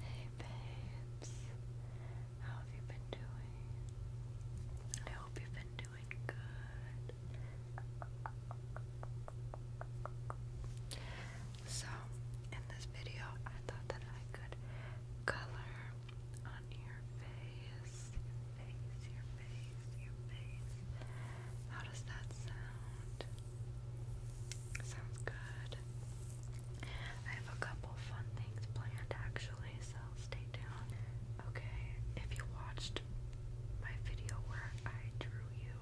Hey babes, how have you been doing? I hope you've been doing good. So, in this video, I thought that I could color on your face, your face, your face, your face. How does that sound? Sounds good. I have a couple fun things planned actually, so stay tuned. Okay, if you watched my video where I drew you,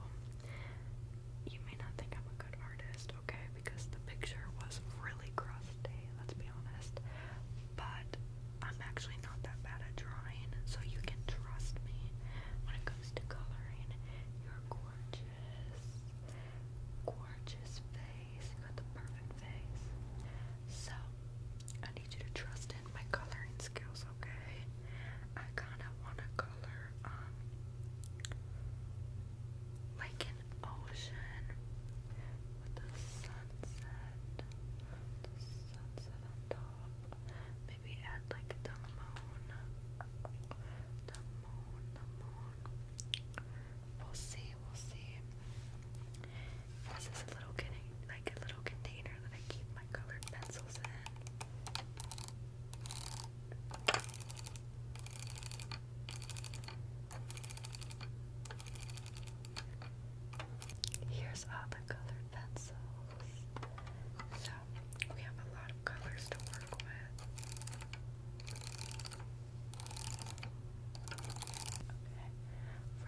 you may not think I'm a good artist, okay? Because the picture was really crusty, let's be honest. But I'm actually not that bad at drawing, so you can trust me when it comes to coloring. You're gorgeous gorgeous face. You got the perfect face. So, I need you to trust in my coloring skills, okay? I kinda wanna color, um, like an ocean with the sunset. sunset on top. Maybe add like the moon. The moon, the moon. We'll see, we'll see. This is a little like a little container that I keep my colored pencils in. Here's all the colored pencils. So we have a lot of colors to work for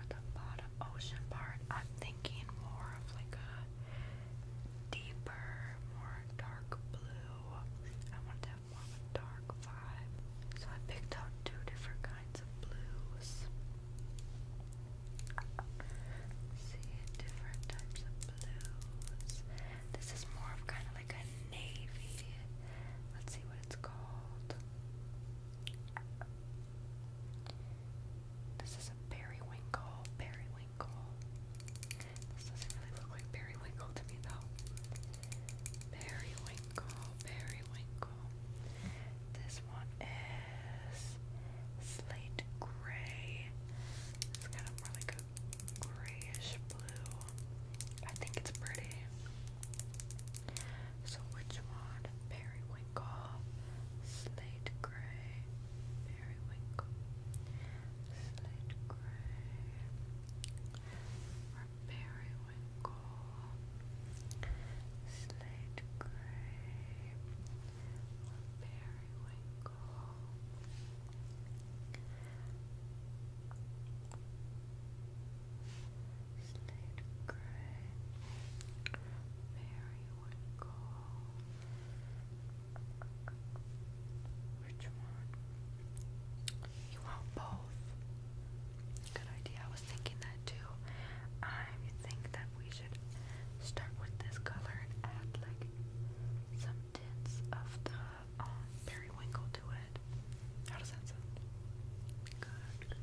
the bottom ocean part, I'm thinking more of like a deeper, more dark blue. I want to more dark vibe. So I picked out two different kinds of blues. See different types of this is more of kind of like a navy. Let's see what it's called. This is a periwinkle. Periwinkle. This doesn't really look like periwinkle to me though. Periwinkle. Periwinkle. This one is slate gray. It's kind of more like a grayish blue. I think it's pretty. So which one? Periwinkle, slate gray, periwinkle, slate gray, periwinkle, slate gray, periwinkle circle. Slate gray, very wrinkle. Which one? You want both? Good idea. I was thinking that too. I think that we should start with this color and add like some tints of the um, periwinkle to it. How does that sound? Good,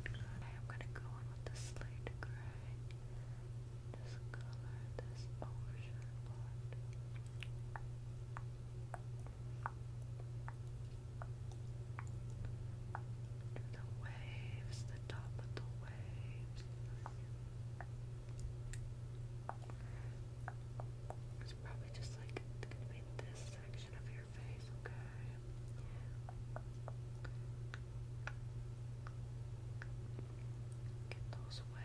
good, I'm gonna go in with the slate gray. This color, this overshirt part. The waves, the top of the waves. It's probably just like gonna be this section of your face, okay? Get those away.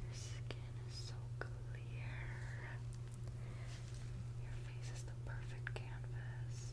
Your skin is so clear. Your face is the perfect canvas.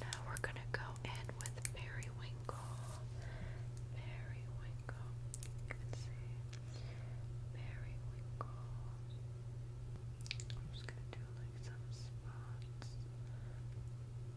Now we're going to go in with periwinkle. Periwinkle. You can see periwinkle. I'm just going to do like some spots.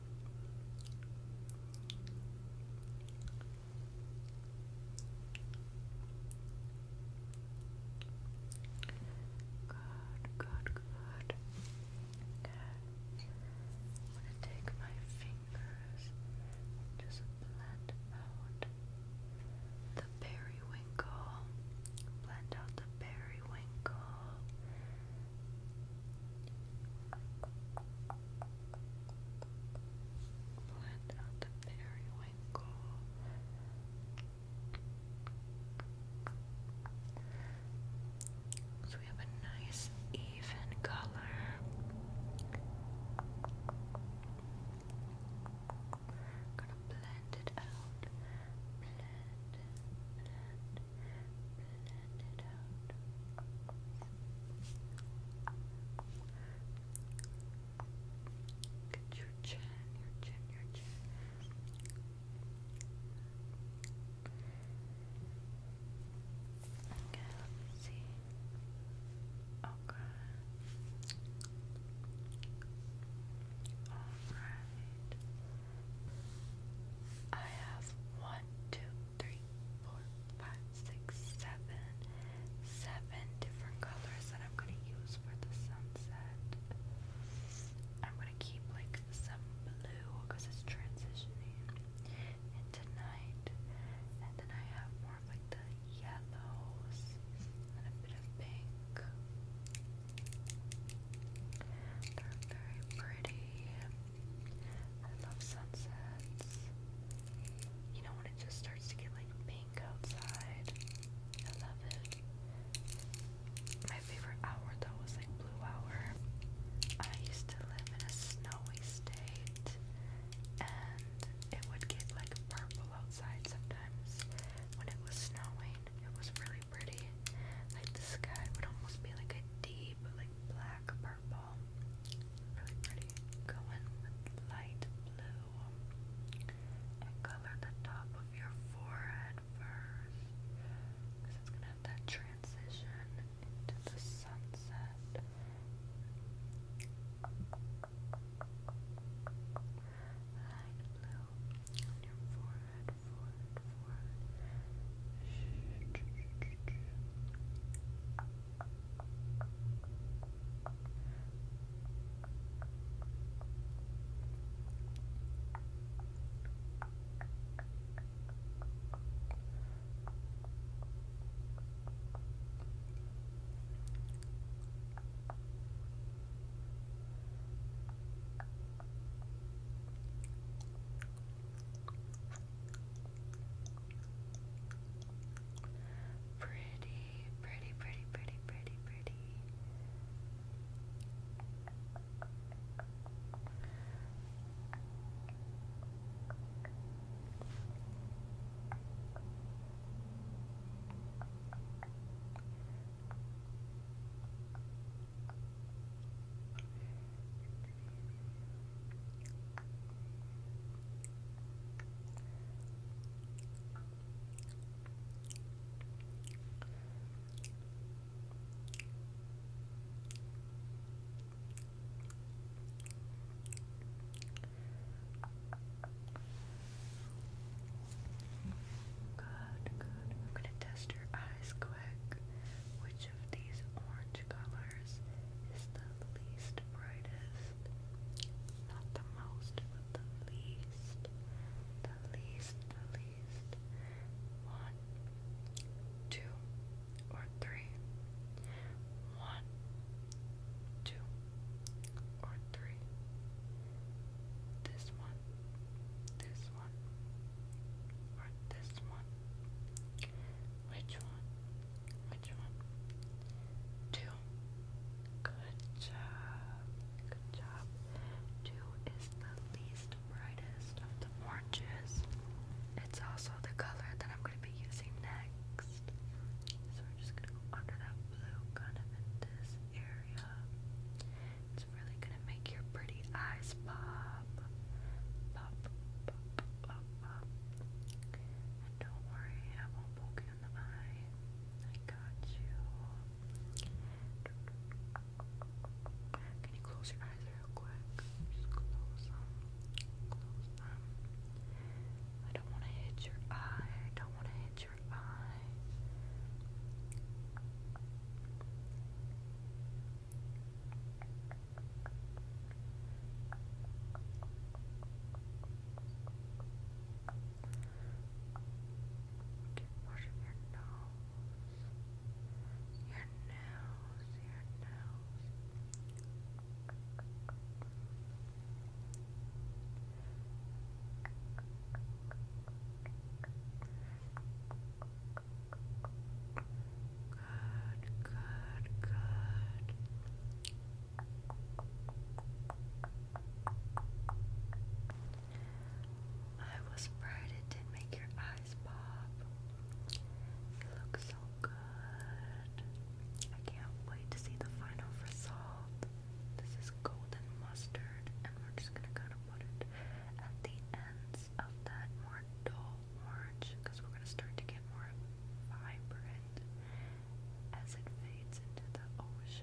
Good, good, good. I'm going to take my fingers just blend out the periwinkle. Blend out the periwinkle. Blend out So we have a nice even color. gonna blend it out blend it Get your chin, your chin, your chin. Okay, let me see. Okay. Alright. I have one, two, three, four, five, six, seven, seven different colors that I'm gonna use for the sunset. I'm gonna keep like some blue because it's transitioning into night, and then I have more like the yellows and a bit of pink. They're very pretty. I love sunsets. You know when it just starts to get like pink outside. I love it. My favorite hour though was like blue hour. I used to live in a snowy state and it would get like purple outside sometimes when it was snowing. It was really pretty. Like the sky would almost be like a deep like black purple purple. Really with light blue. And color the top of your forehead first. it's going to have that transition into the sunset. Light blue on your forehead forward, forward. Good. Pretty, pretty, pretty, pretty, pretty, pretty. Good, good. I'm gonna test your eyes quick. Which of these orange colors is the least brightest? Not the most, but the least. The least, the least. One, two, or three. One, two, or three. This one, this one, this one? Which one? Which one? Two. Good job. Good job. Two is the least brightest of the oranges. It's also the color that I'm going to be using next. So we're just going to go under that blue kind of in this area. It's really gonna make your pretty eyes pop. don't worry, I won't poke you in the eye. I got you. Can you close your eyes real quick? I don't want to hit your eye. I don't want to hit your eye. Keep washing your nose. Your nose, your nose. Good, good, good. I was afraid it did make your eyes pop. You look so good. I can't wait to see the final result. This is golden mustard, and we're just gonna kind of put it at the ends of that more dull orange because we're going to start to get more vibrant as it fades into the ocean.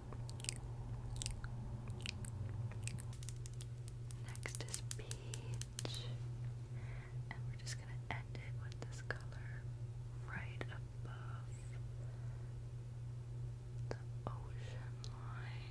Next is peach. And we're just going to end it with this color right above the ocean line.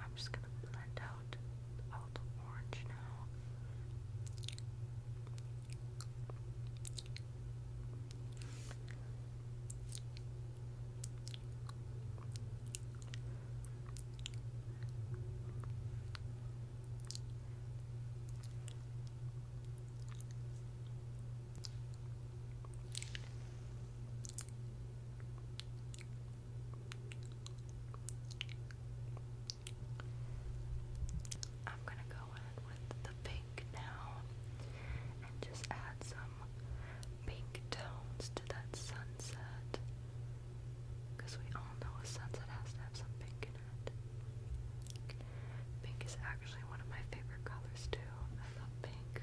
I'm just gonna blend out all the orange now. I'm going to go in with the pink now and just add some pink tones to that sunset because we all know a sunset has to have some pink in it. Pink is actually one of my favorite colors too. I love pink.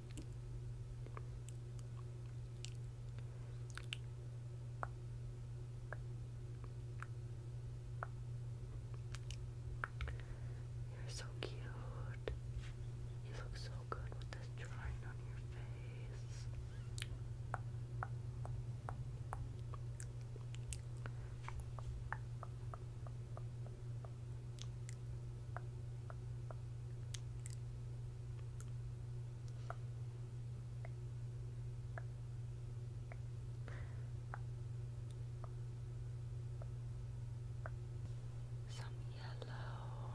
You're so cute. You look so good with this drawing on your face. Some yellow.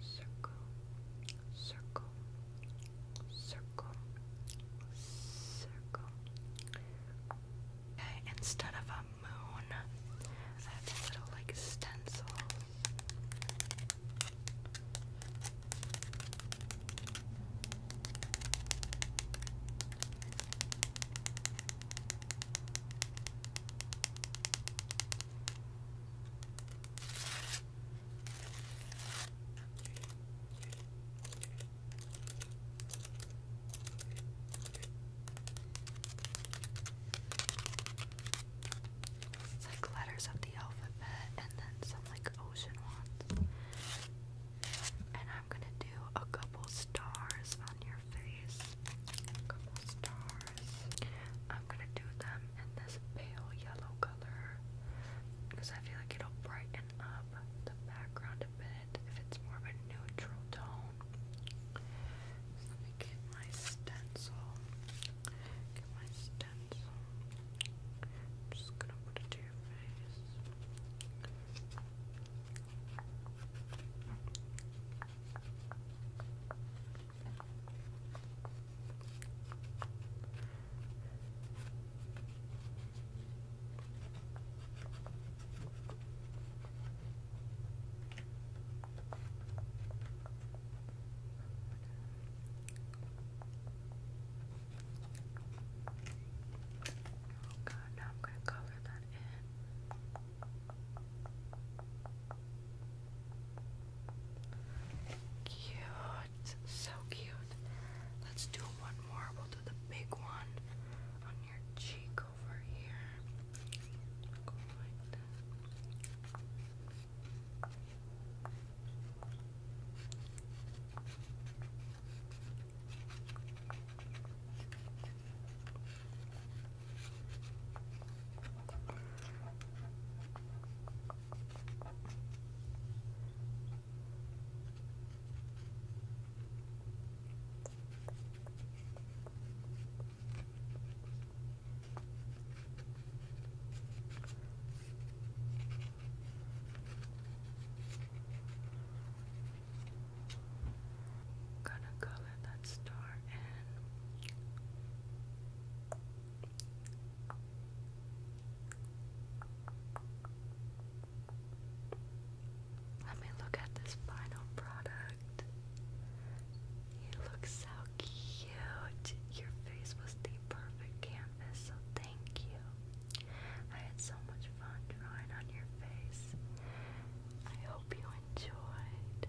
circle, circle, circle, circle. Okay, instead of a moon, I have a little like stencil. It's like letters of the alphabet and then some like ocean ones. And I'm gonna do a couple stars on your face. A couple stars flowers. I'm gonna do them in this pale yellow color because I feel like it'll brighten up the background a bit if it's more of a neutral tone. let me get my stencil. Get my stencil. just gonna put it to your face. Oh god, now I'm going to cover that in. Cute. So cute. Let's do one more. We'll do the big one on your cheek over here. Gonna color that star in let me look at this final product. You look so cute. Your face was the perfect canvas, so thank you. I had so much fun drawing on your face. I hope you enjoyed.